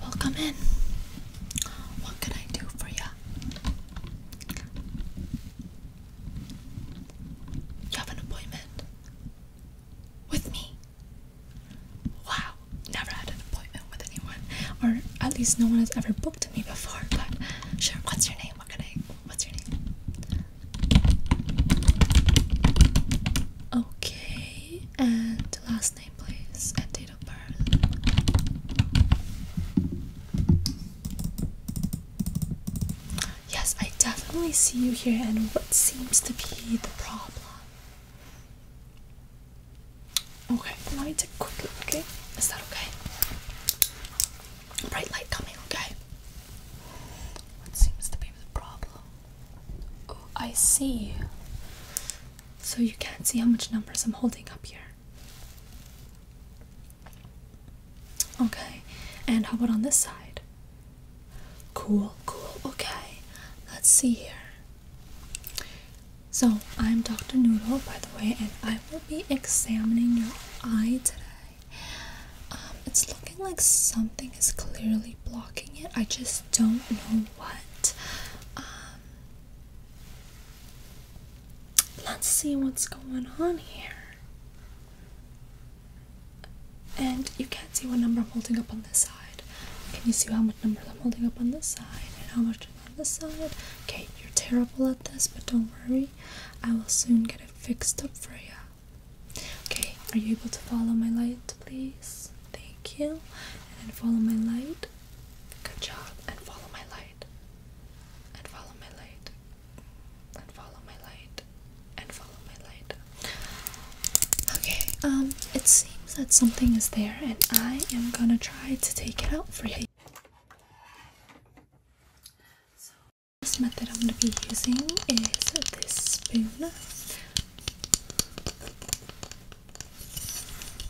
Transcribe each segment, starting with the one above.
Welcome in. What can I do for you? You have an appointment with me. Wow, never had an appointment with anyone, or at least no one has ever booked me before. But sure, what's your name? What can I? What's your name? Okay, and last name, please, and date of birth. Yes, I definitely see you here, and what seems to be the problem? Okay, I want to quickly, Is that okay? Bright light coming, okay? What seems to be the problem? Oh, I see so you can't see how much numbers I'm holding up here. Okay, and how about on this side? Cool, cool, okay. Let's see here. So, I'm Dr. Noodle, by the way, and I will be examining your eye today. Um, it's looking like something is clearly blocking it. I just don't know what. Um, let's see what's going on here. And you can't see what number I'm holding up on this side. Can you see how much number I'm holding up on this side and how much on this side? Okay, you're terrible at this, but don't worry. I will soon get it fixed up for you. Okay, are you able to follow my light, please? Thank Kill And follow my light. Good job. And follow my light. And follow my light. And follow my light. And follow my light. Okay, um, it seems that something is there, and I am gonna try to take it out for you. So, this method I'm gonna be using is this spoon.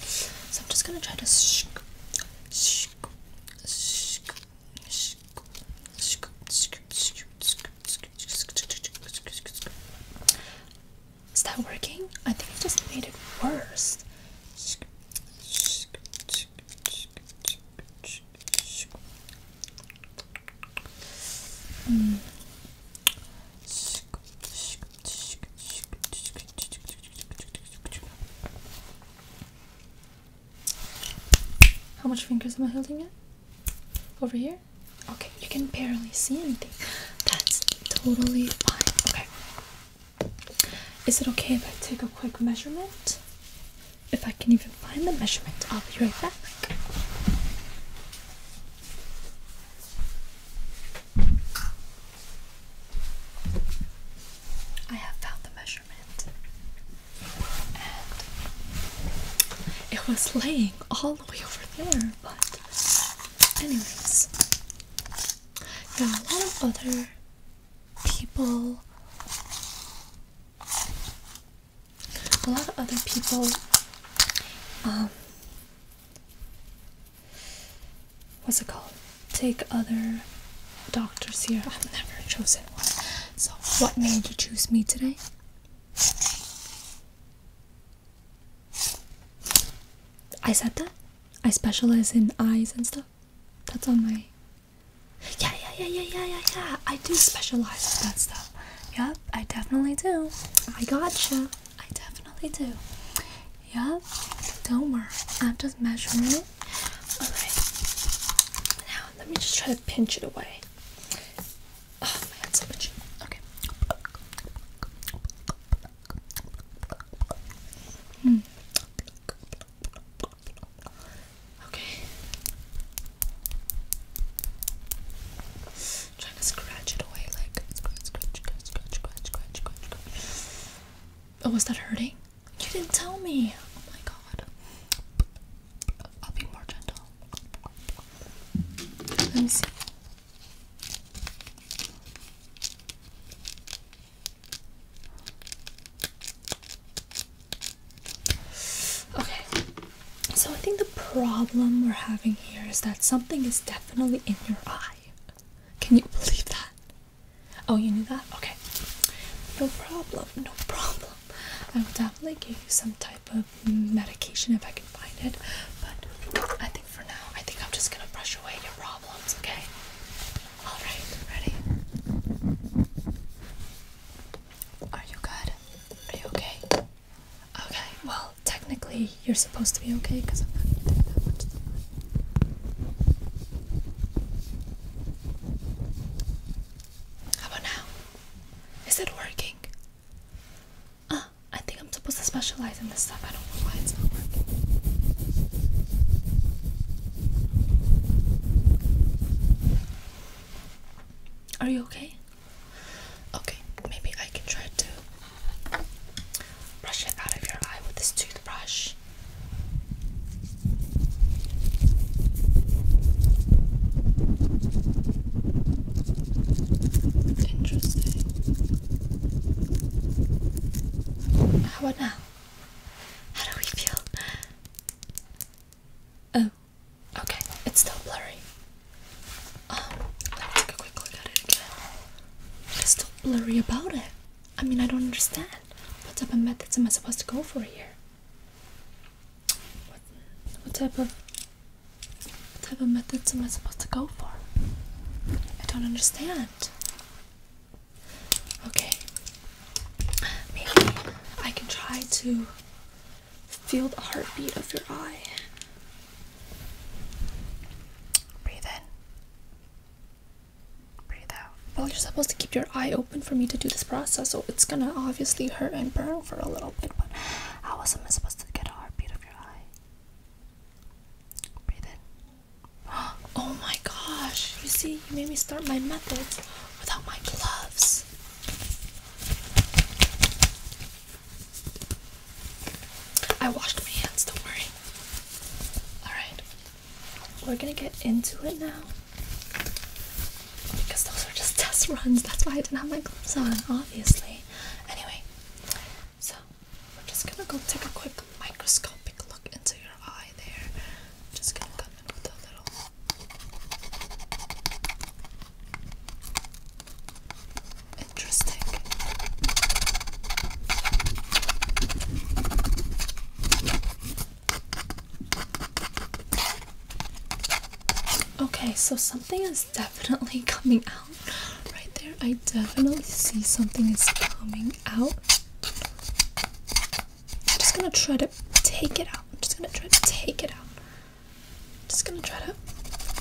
So I'm just gonna try to scoop, scoop, scoop, scoop, scoop, scoop, scoop, scoop, scoop. Is that working? I think I just made it worse. Mm. How much fingers am I holding it? Over here? Okay, you can barely see anything. That's totally fine. Okay. Is it okay if I take a quick measurement? If I can even find the measurement, I'll be right back. I have found the measurement, and it was laying all the way over there. But, anyways, there a lot of other people, a lot of other people, um, what's it called? Take other doctors here. I've never chosen one. So, what made you choose me today? I said that. I specialize in eyes and stuff. That's on my. Yeah, yeah, yeah, yeah, yeah, yeah, yeah. I do specialize in that stuff. Yep, I definitely do. I gotcha. I definitely do. Yeah, don't worry. I'm just measuring it. Alright. Now let me just try to pinch it away. Oh my so much. Okay. Hmm. Okay trying to scratch it away, like scratch, scratch, scratch, scratch, scratch, scratch, scratch, Oh, was that hurting? You didn't tell me. Oh my god. I'll be more gentle. Let me see. Okay. So I think the problem we're having here is that something is definitely in your eye. Can you believe that? Oh, you knew that? Okay. No problem. No problem. I will definitely give you some type of medication if I can find it. But I think for now, I think I'm just gonna brush away your problems, okay? Alright, ready? Are you good? Are you okay? Okay, well, technically you're supposed to be okay because I'm not going to that much How about now? Is it working? Ah, I think I'm supposed to specialize in this stuff. I don't know why it's not working. Are you okay? Okay, maybe I can try to brush it out of your eye with this toothbrush. Interesting. How about now? How do we feel? Um, Okay, it's still blurry. Um, let me take a quick look at it It's still blurry about it. I mean, I don't understand. What type of methods am I supposed to go for here? What, type of type of methods am I supposed to go for? I don't understand. Okay, maybe I can try to Feel the heartbeat of your eye. Breathe in. Breathe out. Well, you're supposed to keep your eye open for me to do this process, so it's gonna obviously hurt and burn for a little bit, but how was I supposed to get a heartbeat of your eye? Breathe in. Oh my gosh, you see, you made me start my methods without my gloves. I washed my hands, don't worry. Alright, we're gonna get into it now. Because those were just test runs, that's why I didn't have my gloves on, obviously. Anyway, so we're just gonna go take a quick microscopic look into your eye there. I'm just gonna come in with a little Interesting. Okay, so something is definitely coming out right there. I definitely see something is coming out. I'm just gonna try to take it out. I'm just gonna try to take it out just gonna try to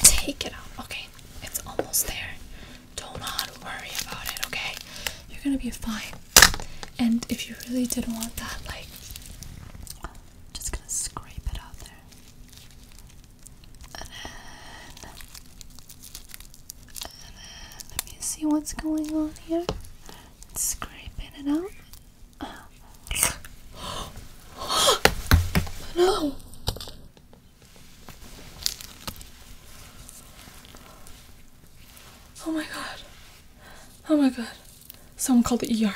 take it out. Okay, it's almost there. Don't not worry about it, okay? You're gonna be fine. And if you really didn't want that, like just gonna scrape it out there. and then let me see what's going on here. Scraping it out no. Oh my god. Oh my god. Someone call the ER.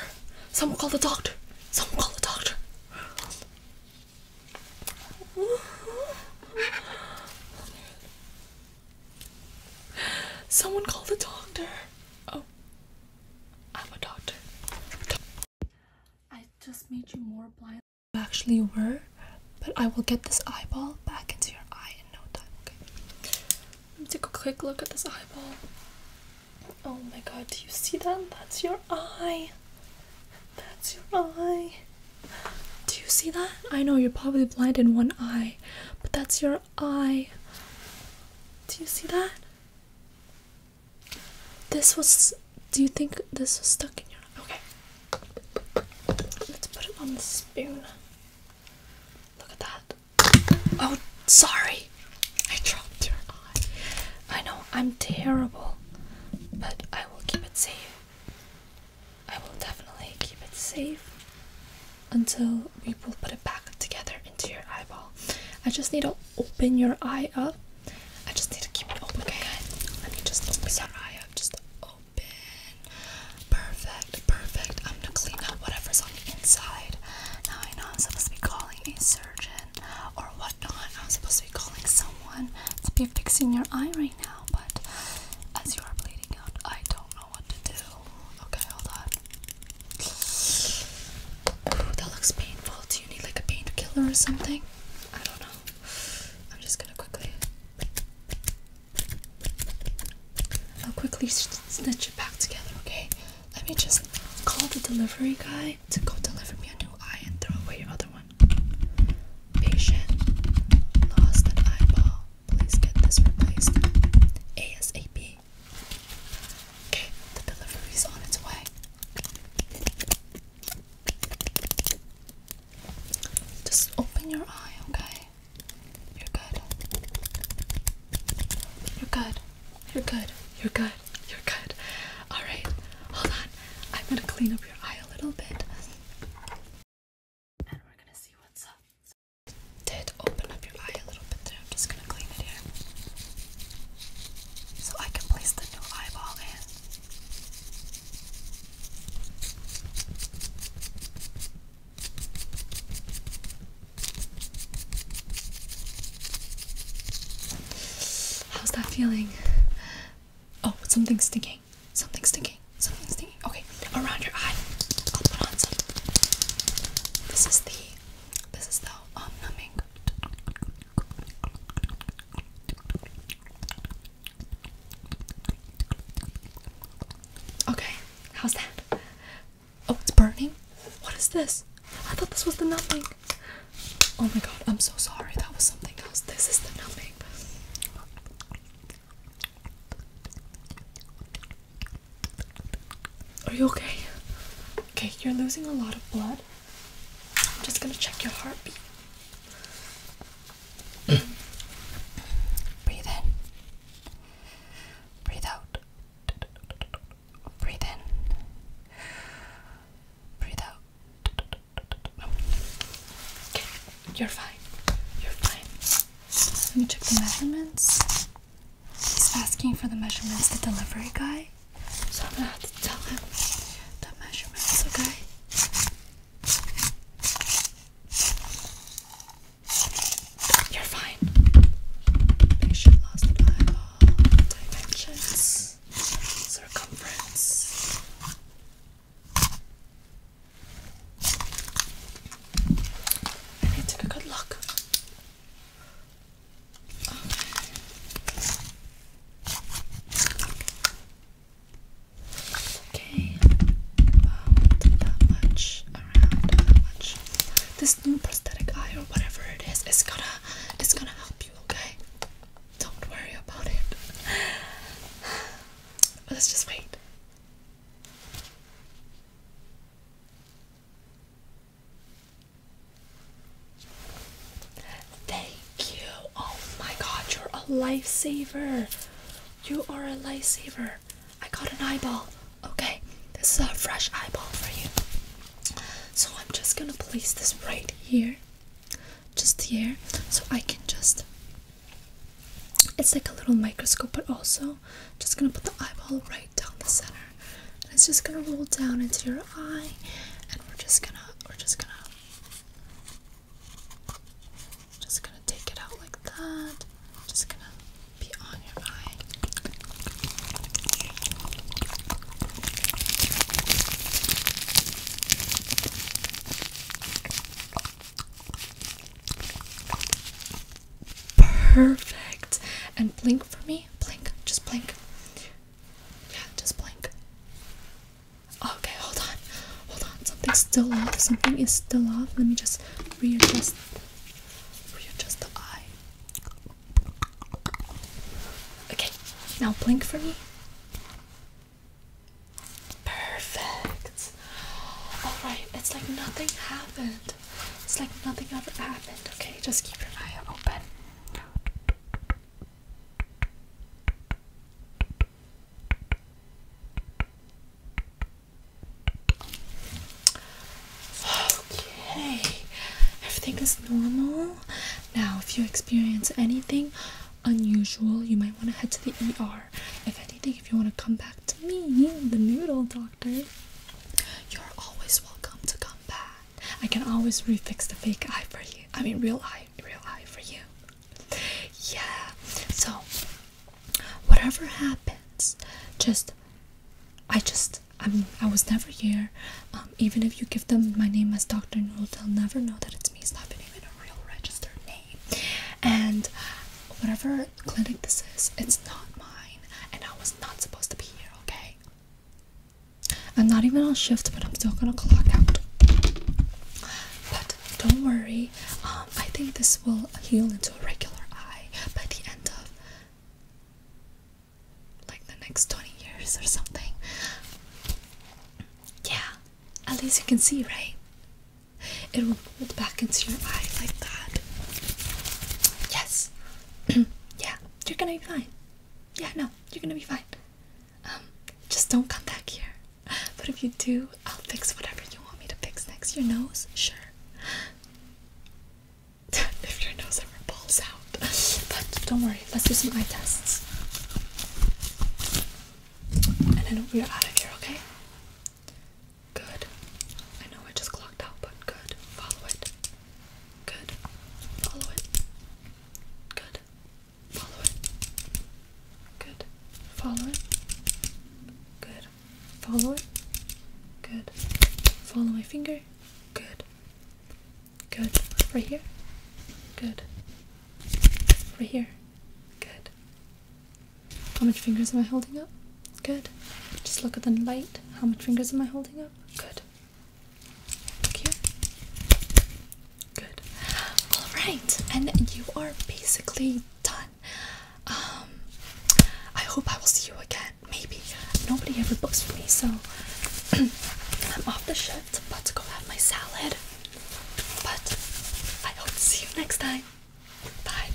Someone call the doctor. Someone call the doctor. Someone call the doctor. Oh. I'm a doctor. I just made you more blind than you actually were, but I will get this eyeball back into your eye in no time, okay? Let me take a quick look at this eyeball. Oh my god, do you see that? That's your eye. That's your eye. Do you see that? I know you're probably blind in one eye, but that's your eye. Do you see that? This was. Do you think this was stuck in your. Okay. Let's put it on the spoon. Look at that. Oh, sorry. I dropped your eye. I know I'm terrible, but I will keep it safe. I will definitely keep it safe until we will put it back together into your eyeball. I just need to open your eye up. I just need to keep it open. Okay, let me just open your eye up. Just open. Perfect, perfect. I'm gonna clean out whatever's on the inside. Now I know I'm supposed to be calling a surgeon or whatnot. I'm supposed to be calling someone to be fixing your eye right now, but as you are bleeding out, I don't know what to do. Okay, hold on. Ooh, that looks painful. Do you need like a painkiller or something? I don't know. I'm just gonna quickly. I'll quickly snitch it back together, okay? Let me just call the delivery guy to go deliver me a new eye and throw away your other one. Patient lost an eyeball. Please get this replaced ASAP. Okay, The delivery is on its way. Just open your eye, okay? You're good. You're good. You're good. You're good. You're good. Alright, hold on. I'm gonna clean up your eye a little bit. Did open up your eye a little bit I'm just gonna clean it here so I can place the new eyeball in. How's that feeling? Oh, something's sticking. Something's sticking. Something's sticking. Okay, around your eye. I'll put on some. This is the this is the um, numbing. Okay, how's that? Oh, it's burning? What is this? I thought this was the numbing. Oh my god, I'm so sorry. That was something else. This is the numbing. Are you okay? Okay, you're losing a lot of blood. I'm just gonna check your heartbeat. Breathe in. Breathe out. Breathe in. Breathe out. Okay, you're fine. You're fine. Let me check the measurements. He's asking for the measurements, the delivery guy. So I'm gonna have to tell him the measurements, okay? You're fine. Patient lost the dimensions, circumference. I need to take a good look. Okay, about that much, around that much. This new prosthetic eye or whatever it is, it's gonna, is gonna help you. Okay, don't worry about it. Let's just wait. Thank you. Oh my god, you're a lifesaver. You are a lifesaver. I got an eyeball. Okay, this is a fresh eyeball for you. So I'm just gonna place this right here, just here, so I can just. It's like a little microscope, but also now just gonna put the eyeball right down the center and it's just gonna roll down into your eye and we're just gonna we're just gonna just gonna take it out like that just gonna be on your eye Perfect. And blink for me. Blink. Just blink. Yeah, just blink. Okay, hold on. Hold on. Something's still off. Something is still off. Let me just readjust readjust the eye. Okay, now blink for me. Perfect. Alright, it's like nothing happened it's like nothing ever happened, okay? Just keep your eye open. Okay, everything is normal. Now, if you experience anything unusual, you might want to head to the ER. If anything, if you want to come back to me, the noodle doctor. You're always welcome to come back. I can always refix the fake eye for you. I mean, real eye, real eye for you. Yeah. So, whatever happens, just I just I mean I was never here. Um, even if you give them my name as Doctor Newell, they'll never know that it's me. It's not even a real registered name. And whatever clinic this is. It's not mine, and I was not supposed to be here, okay? I'm not even on shift, but I'm still gonna clock out. But don't worry, um, I think this will heal into a regular eye by the end of like the next 20 years or something. Yeah, at least you can see, right? It will fold back into your eye like that. Yes, yeah, you're gonna be fine. Yeah, no, you're gonna be fine. Um, just don't come back here. But if you do, I'll fix whatever you want me to fix next. Your nose? Sure. if your nose ever balls out. but don't worry, let's do some eye tests. And then we're out of here, okay? Good. I know I just clocked out, but good. Follow it. Good. Follow it. Good. Follow it. Good. Follow it. Good. Follow it. Good. Follow my finger. Good. Good. Right here. Good. Right here. Good. How many fingers am I holding up? Good. Just look at the light. How many fingers am I holding up? Good. Look here. Good. All right, and you are basically done. Um, I hope I will see you again. Maybe nobody ever books for me, so I'm off the shift. About to go have my salad. But I hope to see you next time. Bye.